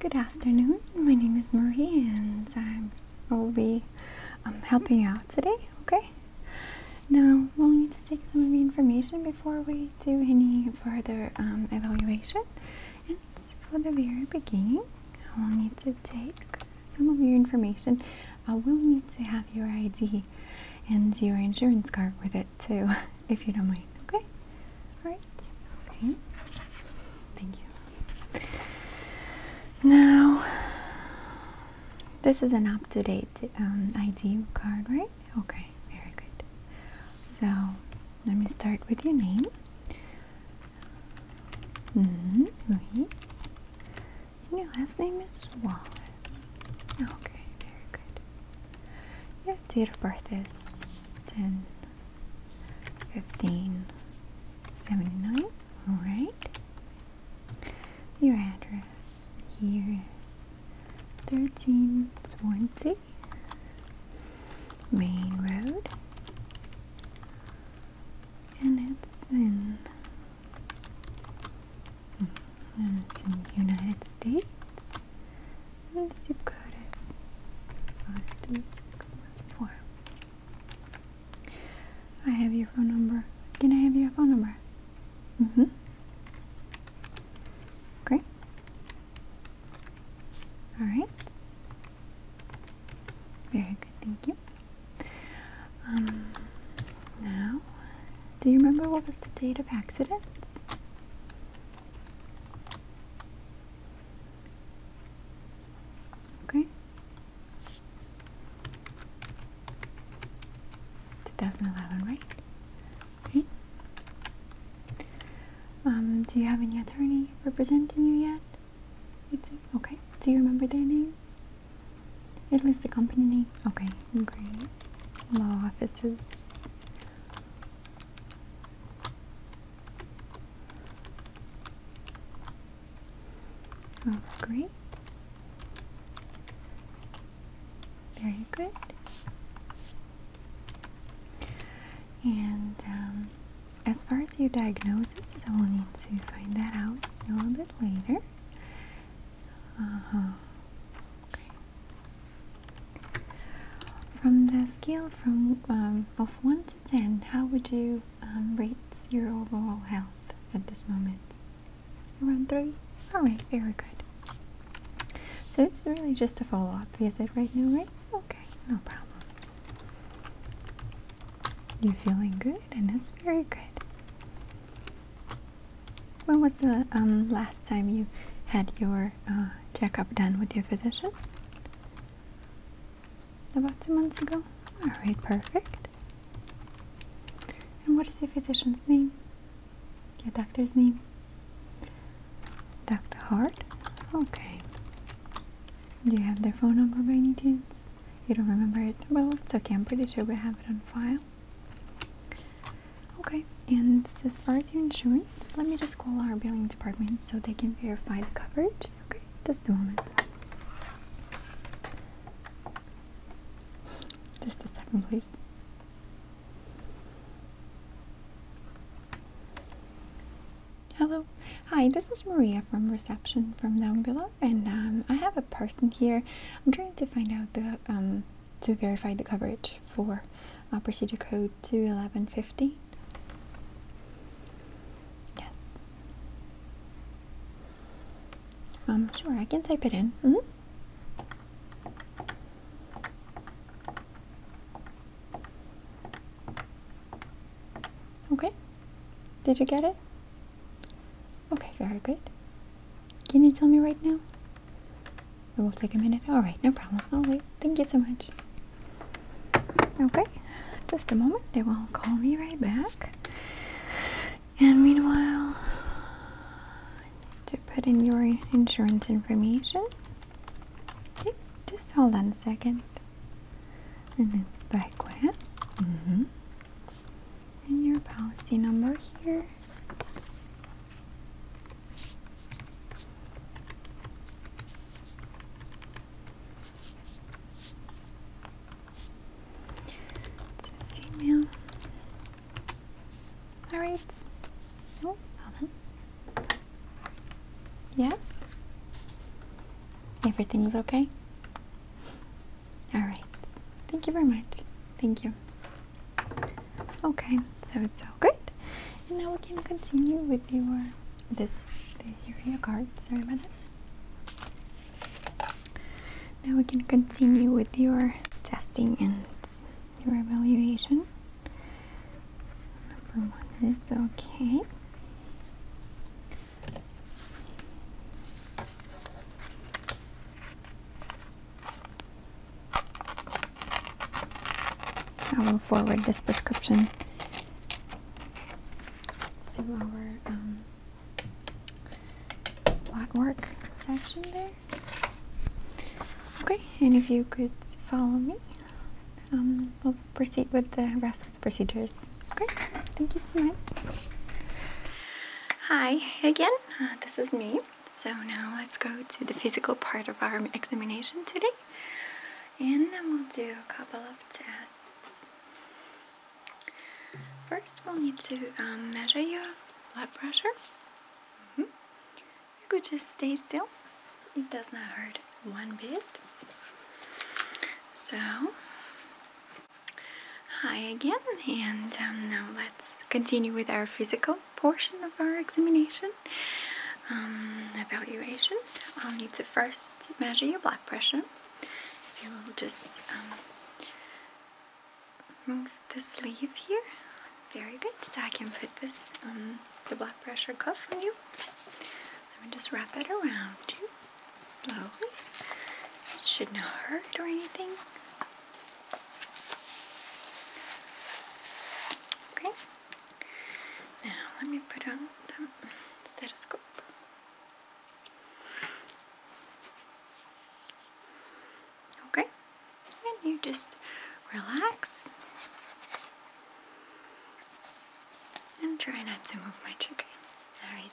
Good afternoon, my name is Marie and i will be um, helping you out today, okay? Now, we'll need to take some of your information before we do any further um, evaluation. And for the very beginning, we will need to take some of your information. I will need to have your ID and your insurance card with it too, if you don't mind. Okay? Alright. Okay. Thank you. Now, this is an up to date um, ID card, right? Okay, very good. So, let me start with your name. -hmm. Louise. your last name is Wallace. Okay, very good. Your date of birth is 10 1579. Alright. Your address here is 13 Swansea Main Road. And it's in and mm, it's in United States. I have your phone number. Can I have your phone number? Mm-hmm. Great. Alright. Very good, thank you. Um now do you remember what was the date of accidents? Okay. 2011, right? Okay. Um, do you have any attorney representing you yet? Okay. Do you remember their name? At least the company name? Okay, great. Law offices. Oh, great. Very good. And um, as far as your diagnosis, we will need to find that out a little bit later. Uh huh. Okay. From the scale from um, of 1 to 10, how would you um, rate your overall health at this moment? Around 3? Alright, very good. So it's really just a follow-up visit right now, right? Okay, no problem. You're feeling good and that's very good. When was the um, last time you had your uh, checkup done with your physician? About two months ago. Alright, perfect. And what is the physician's name? Your doctor's name? Dr. Hart? Okay. Do you have their phone number by any chance? You don't remember it? Well, it's okay. I'm pretty sure we have it on file. Okay and as far as your insurance, let me just call our billing department so they can verify the coverage. Okay, just a moment. Just a second, please. Hello. Hi, this is Maria from reception from down below, and um, I have a person here. I'm trying to find out the um, to verify the coverage for uh, procedure code to eleven fifty. Yes. I'm um, sure, I can type it in. Mm-hmm. Okay. Did you get it? Okay, very good. Can you tell me right now? It will take a minute. Alright, no problem. i wait. Thank you so much. Okay, just a moment. They will call me right back. And meanwhile, to put in your insurance information. just hold on a second. And it's back Quest. Mm -hmm. And your policy number here female. All right. Oh, Yes. Everything's okay. All right. Thank you very much. Thank you. Okay, so it's all good. And now we can continue with your this here are your cards. Sorry about that. Now we can continue with your testing and your evaluation. Number one is okay. I will forward this prescription to our um, blood work section there. Okay, and if you could follow me, um, we'll proceed with the rest of the procedures. Okay, thank you so much. Hi again, uh, this is me. So now let's go to the physical part of our examination today. And then we'll do a couple of tests. First we'll need to um, measure your blood pressure. Mm-hmm. You could just stay still. It does not hurt one bit. So, hi again and um, now let's continue with our physical portion of our examination um, evaluation, I'll need to first measure your blood pressure. If you will just um, move the sleeve here, very good. So I can put this um, the blood pressure cuff on you. Let me just wrap it around you slowly. It should not hurt or anything. Okay, now let me put on the stethoscope. Okay, and you just relax and try not to move my Okay, all right.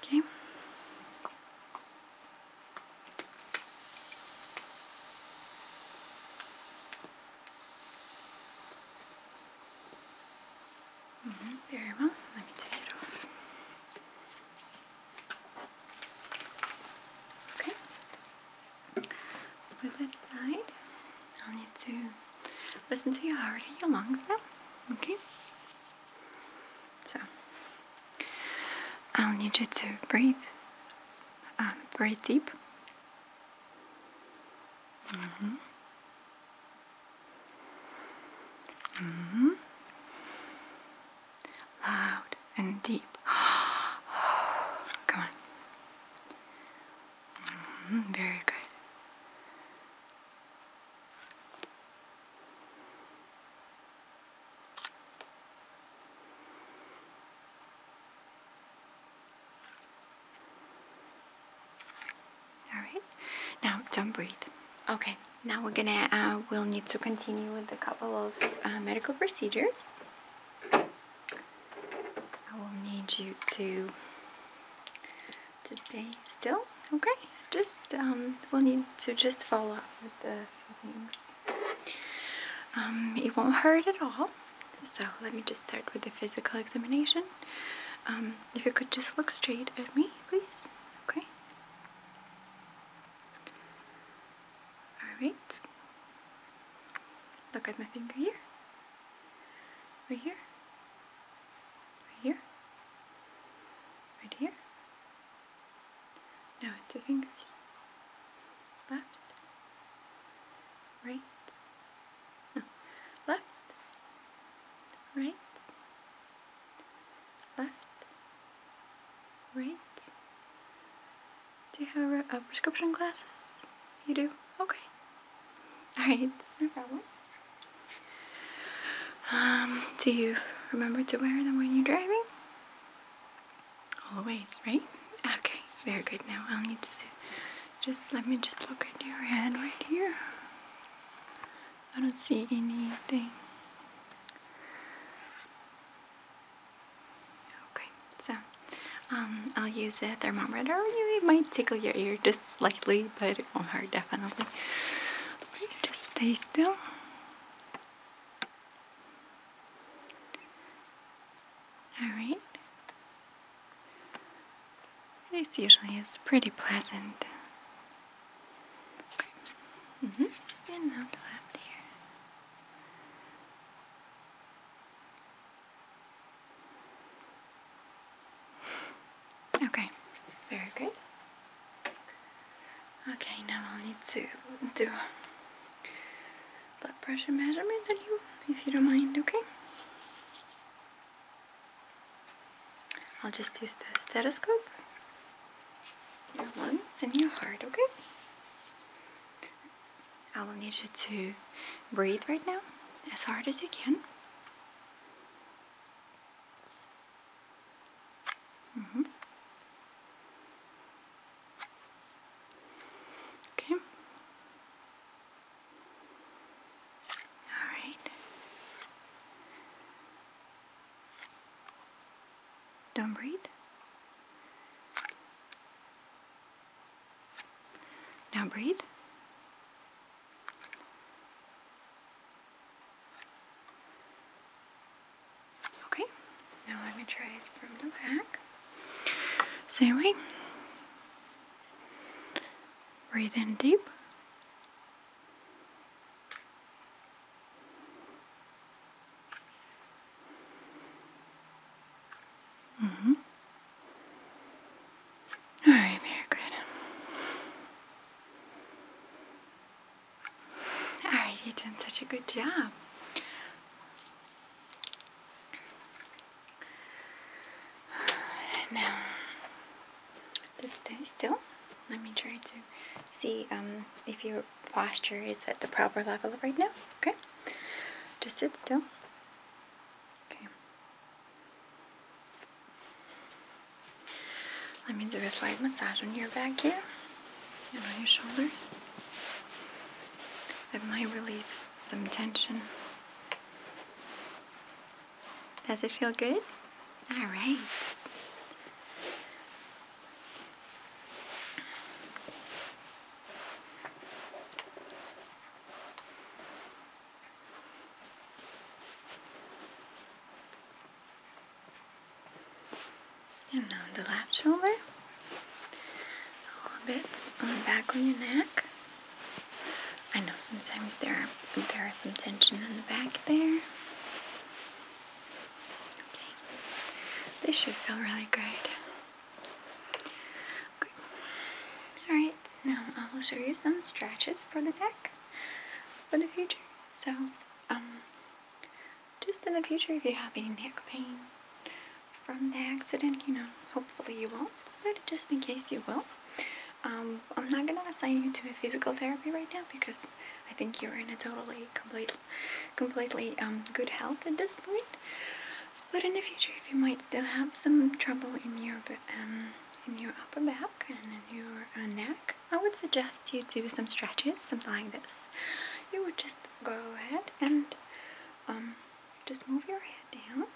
Okay. Mm -hmm, very well. Let me take it off. Okay. put that aside. i need to Listen to your heart and your lungs now, okay? So, I'll need you to breathe. Um, breathe deep. -hmm. -hmm. Loud and deep. Come on. Mm-hmm, very good. All right. Now don't breathe. Okay. Now we're gonna. Uh, we'll need to continue with a couple of uh, medical procedures. I will need you to stay still okay just um, we'll need to just follow up with the things um, it won't hurt at all so let me just start with the physical examination um, if you could just look straight at me please okay all right look at my finger here Right here. Right here. Right here. Now with two fingers. Left. Right. No. Left. Right. Left. Right. Do you have a uh, prescription glasses? You do? Okay. Alright, no problem. Um, do you remember to wear them when you're driving? Always, right? Okay, very good. Now I'll need to just let me just look at your hand right here. I don't see anything. Okay so um, I'll use a thermometer. It might tickle your ear just slightly, but it won't hurt definitely. Just stay still. Alright. This usually is pretty pleasant. Okay. -hmm. And now the left ear. Okay, very good. Okay, now I'll need to do blood pressure measurements on you, if you don't mind, okay? I'll just use the stethoscope, your lungs, and your heart, okay? I will need you to breathe right now as hard as you can. Mm-hmm. Okay. All right. Don't breathe. Now breathe. Okay, now let me try from the back. Same way. Breathe in deep hmm. All right, Margaret. All right, you're doing such a good job. Now, just um, stay still. Let me try to see um, if your posture is at the proper level right now. Okay, just sit still. Let me do a slight massage on your back here and on your shoulders. That might relieve some tension. Does it feel good? Alright. And down the left shoulder. All bits on the back of your neck. I know sometimes there are, there is some tension in the back there. Okay. This should feel really great. Okay. Alright, now I will show you some stretches for the neck for the future. So, um, just in the future, if you have any neck pain from the accident, you know, hopefully you won't, but just in case you will, um, I'm not gonna assign you to a physical therapy right now because I think you're in a totally, completely, completely um, good health at this point. But in the future, if you might still have some trouble in your um, in your upper back and in your uh, neck, I would suggest you do some stretches, something like this. You would just go ahead and um, just move your head down,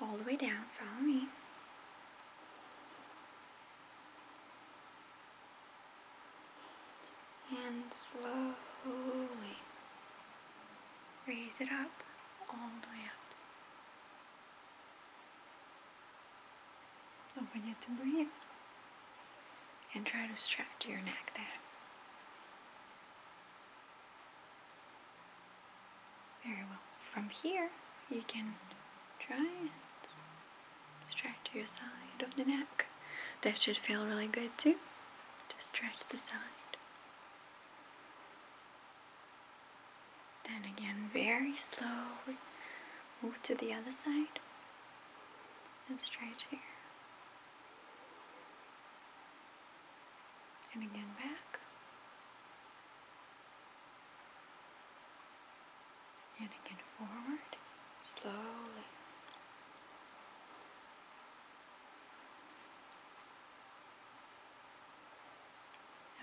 all the way down. Follow me and slowly raise it up all the way up. Don't forget to breathe and try to stretch your neck there. Very well. From here, you can try and stretch your side of the neck. That should feel really good too. Just stretch the side. Then again, very slowly move to the other side and stretch here. And again back. And again forward, slowly.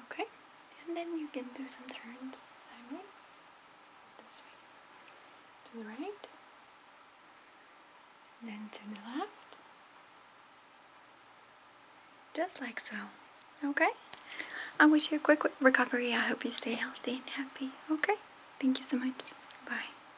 Okay, and then you can do some turns sideways, this way, to the right, then to the left, just like so. Okay? I wish you a quick recovery. I hope you stay healthy and happy. Okay? Thank you so much. Bye.